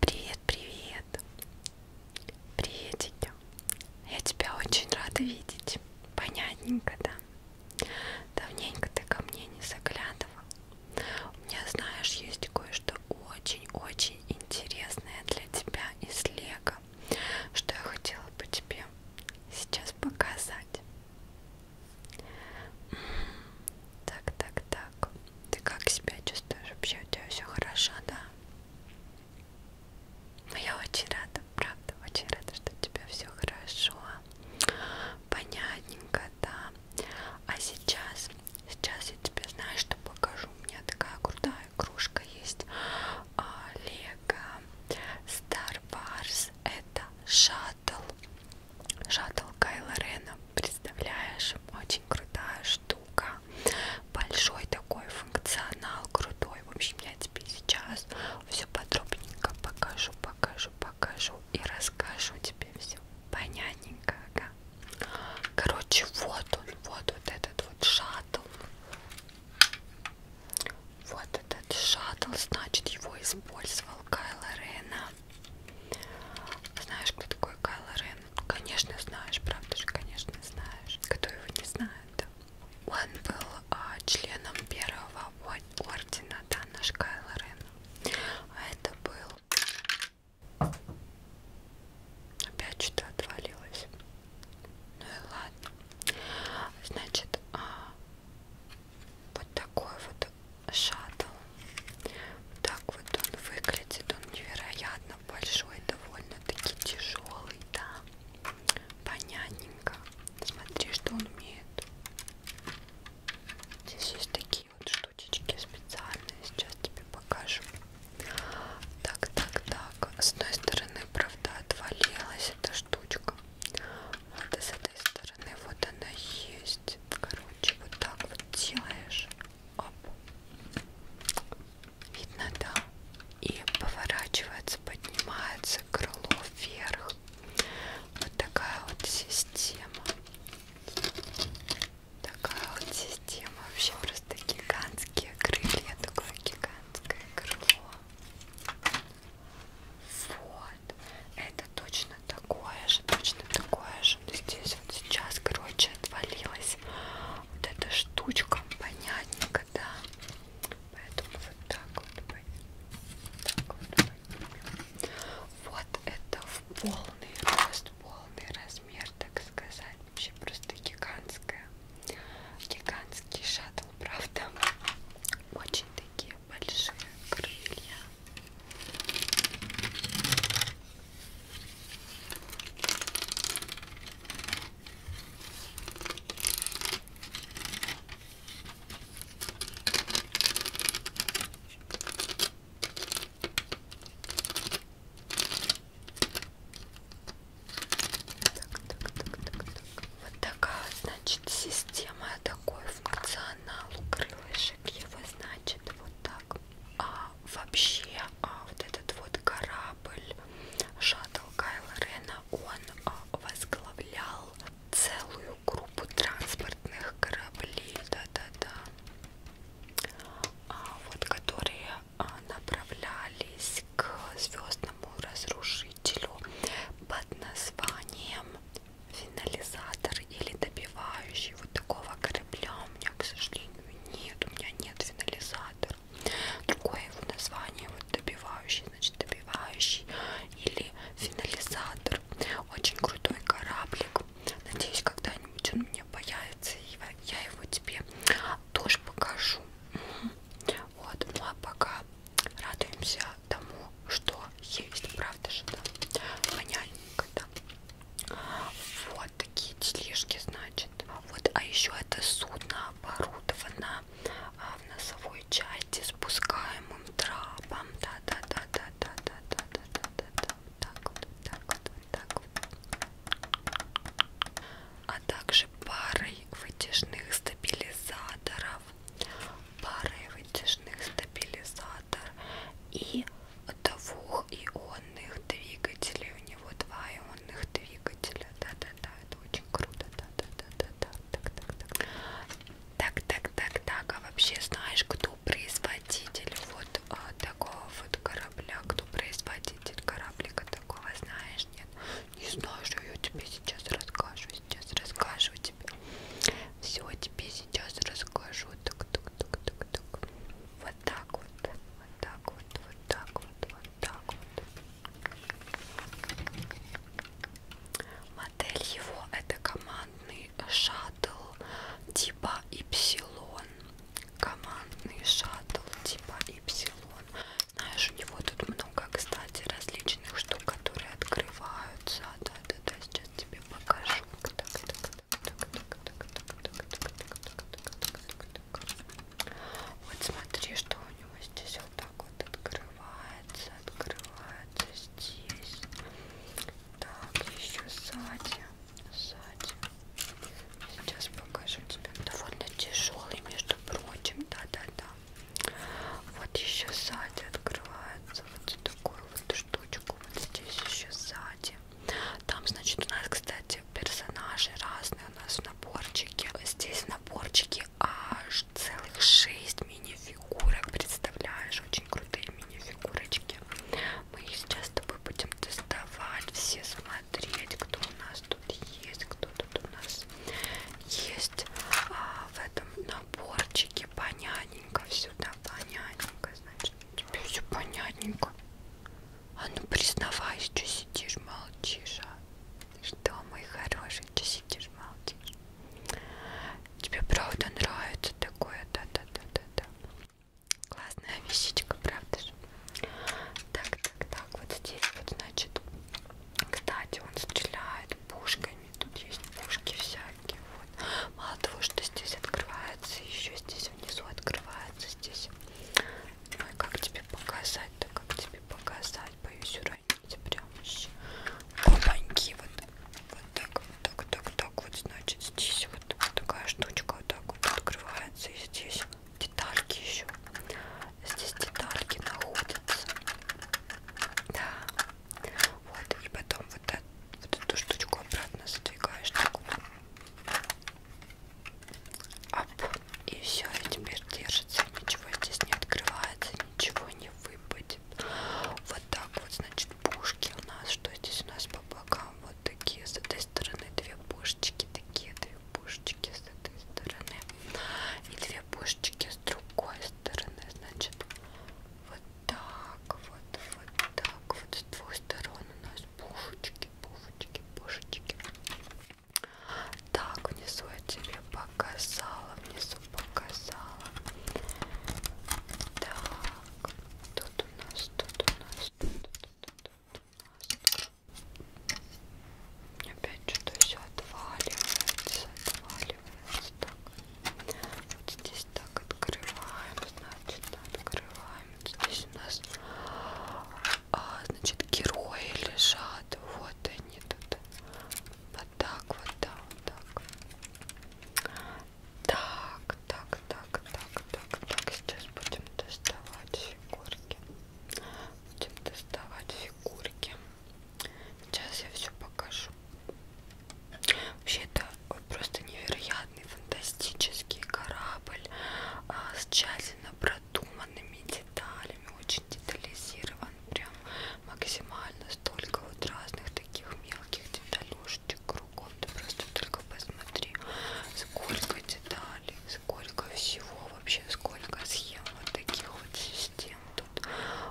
Привет, привет! Приветики! Я тебя очень рада видеть. Понятненько, да? Давненько ты ко мне не заглядывал. У меня, знаешь, есть кое-что очень-очень интересное для тебя из Лего, что я хотела бы тебе сейчас показать. Так, так, так. Ты как себя чувствуешь? Вообще у тебя все хорошо, да? Но ну, я очень рада, правда, очень рада, что у тебя все хорошо. Понятненько, да. А сейчас, сейчас я тебе знаю, что покажу. У меня такая крутая игрушка есть. А, Лего Star Wars. Это шаттл. Шаттл Кайла Рена. Представляешь? Очень крутая штука. Большой такой функционал, крутой. В общем, я тебе сейчас все подробненько покажу, покажу, покажу и расскажу тебе все. Понятненько, ага. Короче, вот он, вот, вот этот вот шаттл. Вот этот шаттл, значит, его использовал Кайл Рена знаешь, кто такой Кайло Рен? Конечно, знаешь, правда же, конечно, знаешь. Кто его не знает? Он был а, членом первого ордена, да, наш Кайло Рен. А это был... Опять что-то отвалилось. Ну и ладно. Значит, а, вот такой вот шаттл вот так вот он выглядит, он невероятно большой, довольно-таки тяжелый, да, понятненько. Смотри, что он умеет. Здесь есть такие вот штучечки специальные, сейчас тебе покажу. Так, так, так. С одной стороны, правда, отвалилась эта штучка. Вот, а с этой стороны вот она есть. Короче, вот так вот делаешь. Оп. Видно, да? И поворачивается, поднимается крыло вверх. Вот такая вот система. Такая вот система. Вообще просто гигантские крылья. Такое гигантское крыло. Вот. Это точно такое же, точно такое держим. То здесь вот сейчас, короче, отвалилась вот эта штучка, понятненько, да. Поэтому вот так вот, так вот Вот это в полный рост, полный размер, так сказать. Вообще просто гигантская. Гигантский шаттл, правда. Очень такие большие крылья. Так, так, так, так, так. Вот такая, значит, система, такой функционал у крылышек его, значит, вот так а, вообще а, вот этот вот корабль шаттл Кайла Рена, он а, возглавлял целую группу транспортных кораблей, да-да-да, а, вот которые а, направлялись к звездному разрушителю под названием финализатор или добивающий вот такого корабля у меня, к сожалению, нет, у меня нет финализатора. Другое его название вот добивающий, значит добивающий или финализатор. Очень крутой кораблик. Надеюсь, когда-нибудь он у меня появится, и я его тебе тоже покажу. Вот, ну а пока радуемся тому, что есть, правда же, да? Понятненько, да? Вот. Вот такие тележки, значит. Вот, а еще это судно оборудовано а, в носовой части спускаемым трапом. Да-да-да-да-да-да-да-да-да-да. Так вот, так вот, так вот. А также парой вытяжных стабилизаторов. Парой вытяжных стабилизаторов аккумулятор и двух ионных двигателей. У него два ионных двигателя. Да-да-да, это очень круто. Да-да-да-да. Так-так-так. Так-так-так-так. А вообще знаешь, кто производитель вот а, такого вот корабля? Кто производитель кораблика такого, знаешь, нет? Не знаю, что я тебе сейчас расскажу. Сейчас расскажу тебе. Все тебе сейчас расскажу. Так, так, так, так, так. Вот так вот, вот так вот, вот так вот, вот так вот. Модель его это командный шаттл типа Ypsilon. Командный шаттл типа Ypsilon. Знаешь, у него тут много, кстати, различных штук, которые открываются. Да, да, да, сейчас тебе покажу. Вот смотри, что у него здесь вот так вот открывается, открывается здесь. Так, еще сзади, сзади. Сейчас покажу тебе. Довольно тяжелый, между прочим, да-да-да. Вот еще сзади открывается вот такую вот штучку. Вот здесь еще сзади. Там, значит, у нас, кстати, персонажи разные у нас в наборчике. Здесь наборчики аж целых шесть мини-фигурок. Представляешь, очень крутые мини-фигурочки. Мы их сейчас с тобой будем доставать, все смотреть, кто у нас тут есть, кто тут у нас есть а, в этом наборчике. Понятненько все, да, понятненько, значит. Тебе все понятненько. А ну признавайся, что сидишь, молчишь, а? Что, мой хороший, что сидишь, молчишь? Тебе правда нравится такое, да-да-да-да-да. Классная вещичка, правда же? Так, так, так, вот здесь вот, значит, кстати, он стреляет пушками, тут есть пушки всякие, вот. Мало того, что здесь открывается, еще здесь внизу открывается здесь. Ой, как тебе показать-то, как тебе показать? Боюсь уронить прям еще. Опаньки, вот, вот так, вот так, вот так, так. Вот, значит, здесь вот, вот такая штучка вот так вот открывается. И здесь детальки еще. Здесь детальки находятся. Да. Вот, и потом вот, это, вот эту штучку обратно задвигаешь. Так вот. Оп. И все, и теперь держится. Ничего здесь не открывается, ничего не выпадет. Вот так вот, значит, пушки у нас. Что здесь у нас по бокам? Вот такие. С этой стороны две пушечки, такие две пушечки с этой стороны. И две пушечки с другой стороны. Значит, вот так вот, вот так вот с двух сторон у нас пушечки, пушечки, пушечки. Так, внизу я тебе показала, внизу показала. Так, тут у нас, тут у нас, тут, тут, тут, тут у нас. Опять что-то все отваливается, отваливается. Так, вот здесь здесь так открываем, значит, открываем. Здесь у нас, а, значит, герои лежат. Вот они тут. Вот так вот, да, вот так. Так, так, так, так, так, так. Сейчас будем доставать фигурки. Будем доставать фигурки. Сейчас я все покажу. Вообще-то просто невероятный фантастический корабль а, с тщательно продуманными деталями, очень детализирован, прям максимально столько вот разных таких мелких деталюшечек кругом, ты просто только посмотри, сколько деталей, сколько всего вообще, сколько схем вот таких вот систем тут,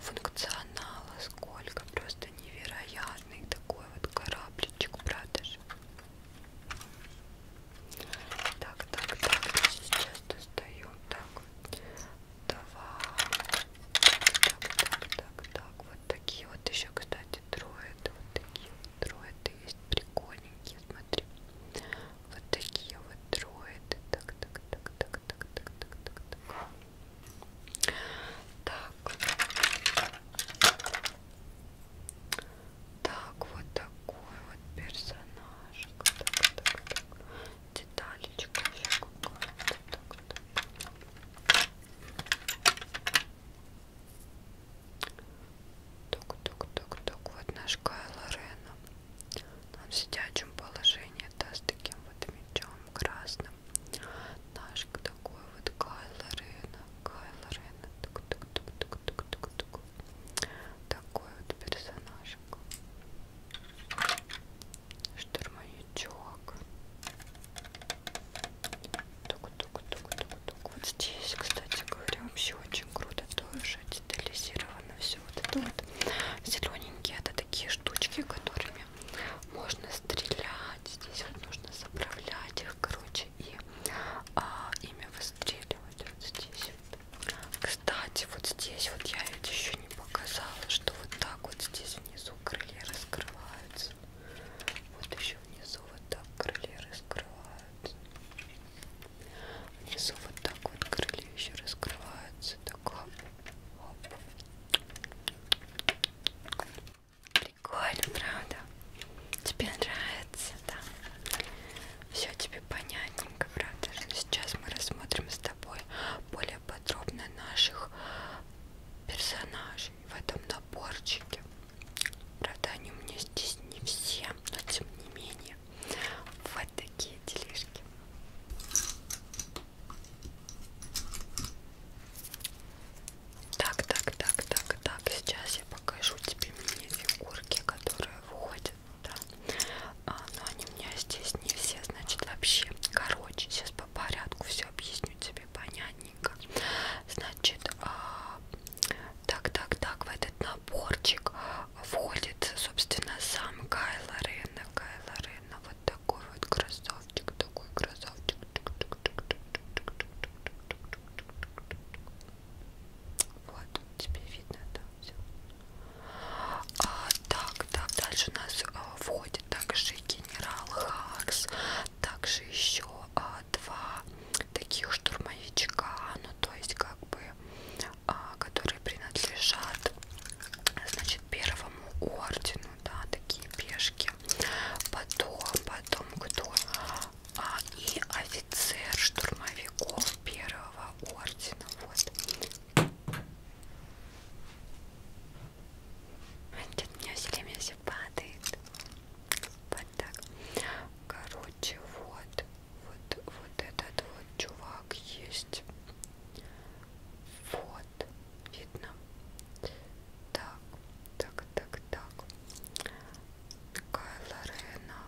функционала, сколько просто невероятный такой вот корабличек, правда же? Так, так, так, сейчас достаю. Так, два. Так, так, так, так. Вот такие вот еще, кстати, троиды. Вот такие вот троиды есть прикольненькие, смотри. Вот такие вот троиды. Так, так, так, так, так, так, так, так, так. Так. Так, вот такой вот персонаж. Так, так, так. Деталечка еще какая-то. Так, так, так, так, так. Вот наш Кайл Рена. Он в сидячем положении, да, с таким вот мечом красным. Наш такой вот Кайла Рена, Кайла Рена, тук тук тук тук тук тук тук такой вот персонажик штурмовичок тук тук тук тук тук вот здесь, кстати говоря, вообще очень круто тоже детализировано все вот это вот зелененькие это такие штучки, которыми можно стрелять здесь вот нужно заправлять их их, короче, и а, ими выстреливать вот здесь. Кстати, вот здесь вот я ведь еще не показала, что вот так вот здесь внизу крылья раскрываются. Вот еще внизу вот так крылья раскрываются. Внизу вот так вот крылья еще раскрываются. Так, оп, оп. Прикольно, правда? Тебе нравится, да? Все тебе понятненько, правда? Сейчас мы рассмотрим с тобой более подробно наших персонажей в этом наборчике. Правда, они у меня здесь не все, но тем не менее. Вот такие делишки. Так, так, так, так, так. Сейчас я покажу тебе мне фигурки, которые выходят, да. А, но они у меня здесь не все, значит, вообще. Короче, сейчас по порядку все объясню тебе понятненько. Значит, а, так, так, так, в этот наборчик входит, собственно, сам Кайла Рена. Кайла Рена, вот такой вот красавчик красавчик такой, красавчик. Вот, тебе видно это все. А, так, так, дальше у нас а, входит также генерал Хакс, также еще а, два таких штурмовичка, ну то есть как бы, а, которые принадлежат, значит, первому ордену да, такие пешки. Потом, потом кто? А, и офицер штурмовиков первого ордена. Вот. Нет, у меня все время все падает. Вот так. Короче, вот. Вот, вот этот вот чувак есть. Вот. Видно? Так, так, так, так. Кайла Рена.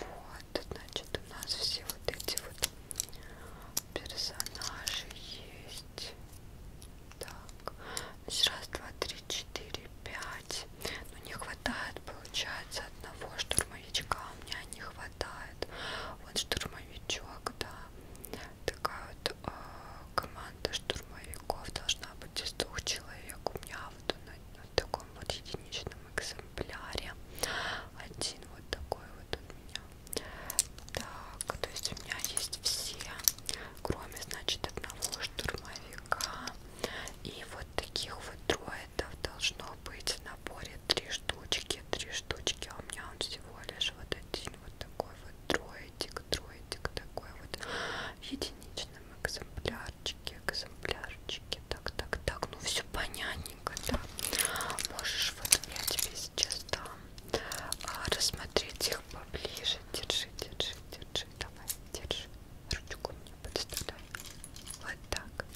Вот, значит, у нас все вот эти вот персонажи есть. Так, значит, раз, два, три, четыре, пять. Но ну, не хватает, получается, одного штурмовичка. А у меня не хватает. Вот штурмовичок, да такая вот э, команда штурмовиков должна быть из двух человек. У меня вот на, на таком вот единичном экземпляре один вот такой вот у меня. Так, то есть у меня есть все, кроме, значит, одного штурмовика. И вот таких вот дроидов должно быть в наборе три штучки, три штучки, а у меня он всего лишь вот один вот такой вот троетик, троетик такой вот в единичном экземплярчике, экземплярчике, так, так, так, ну все понятненько, да. Можешь вот я тебе сейчас дам а, рассмотреть их поближе, держи, держи, держи, давай, держи, ручку мне подставляй, вот так.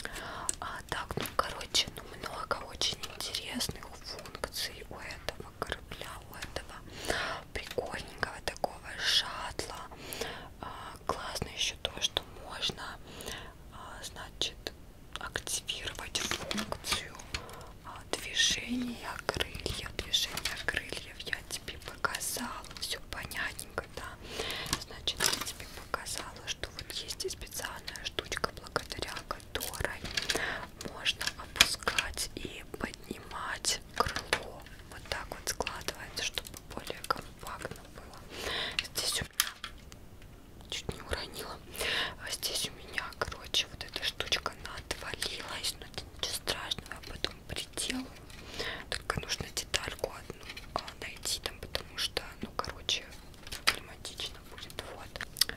А так, ну короче, ну много очень интересных функций у этого этого корабля, у этого прикольненького такого шаттла. А, классно еще то, что можно, а, значит, активировать функцию а, движения крыльев. Движение крыльев я тебе показала, все понятненько, да. Значит, я тебе показала, что вот есть и специальная штучка, благодаря которой можно опускать и поднимать крыло. Вот так вот складывается, чтобы более компактно было. Здесь у меня чуть не уронила. А здесь у меня, короче, вот эта штучка она отвалилась, но это ничего страшного, я потом приделаю. Только нужно детальку одну а, найти там, потому что, ну, короче, проблематично будет. Вот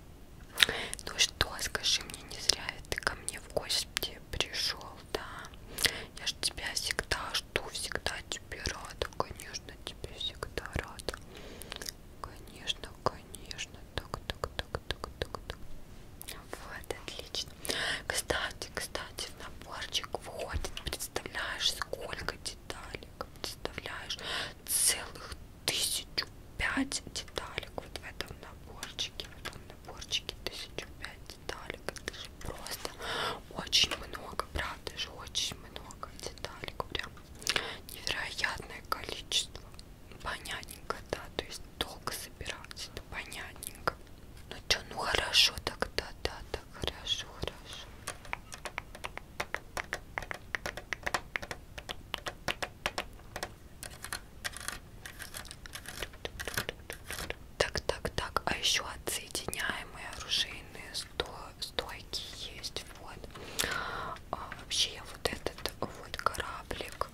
ну что, скажи мне, не зря ты ко мне в гости пришел, да? Я ж тебя всегда жду, всегда тебе рада, конечно, тебе всегда рада. Конечно, конечно, так, так, так, так, так, так. Вот, отлично. Кстати, кстати, в наборчик входит, представляешь, сколько деталек, представляешь, целых тысячу пять деталек вот в этом наборчике, в этом наборчике тысячу пять деталек, это же просто очень много, правда же очень много деталек, прям невероятное количество, понятненько, да, то есть долго собирать, это понятненько. Ну что, ну хорошо тогда, да, так хорошо, хорошо. Так, так, так. А еще отсоединяемые оружейные стойки есть. Вот. А вообще вот этот вот кораблик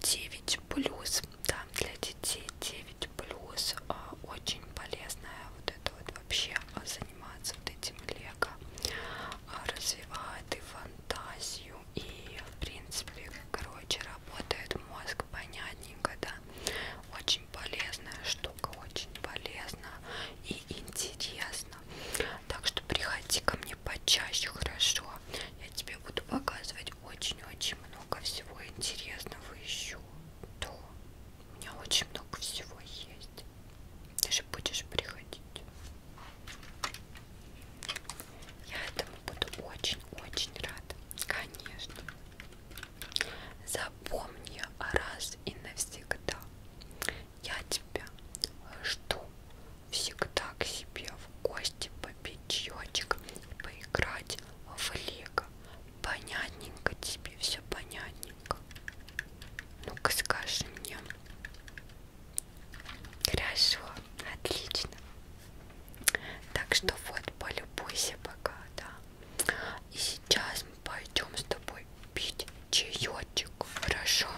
9 а, плюс. Да, для детей 9 плюс. А, очень полезная вот это вот вообще а, заниматься вот этим лего. Развивает и фантазию, и в принципе короче работает мозг понятненько да очень полезная штука очень полезна и интересно так что приходи ко мне почаще хорошо я тебе буду показывать очень очень много всего интересного еще да у меня очень много всего есть ты же будешь приходить я этому буду очень-очень рада. Конечно. Запомни раз и навсегда. Я тебя жду всегда к себе в гости попить чаечек, поиграть в лего. Понятненько тебе, все понятненько. Ну-ка скажи мне, Хорошо, отлично. Так что вот, полюбуйся пока, да. И сейчас мы пойдем с тобой пить чаечек, хорошо?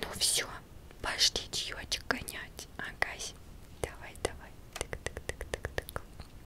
Ну все, пошли чаечек гонять. Агась, давай, давай. Так, так, так, так, так.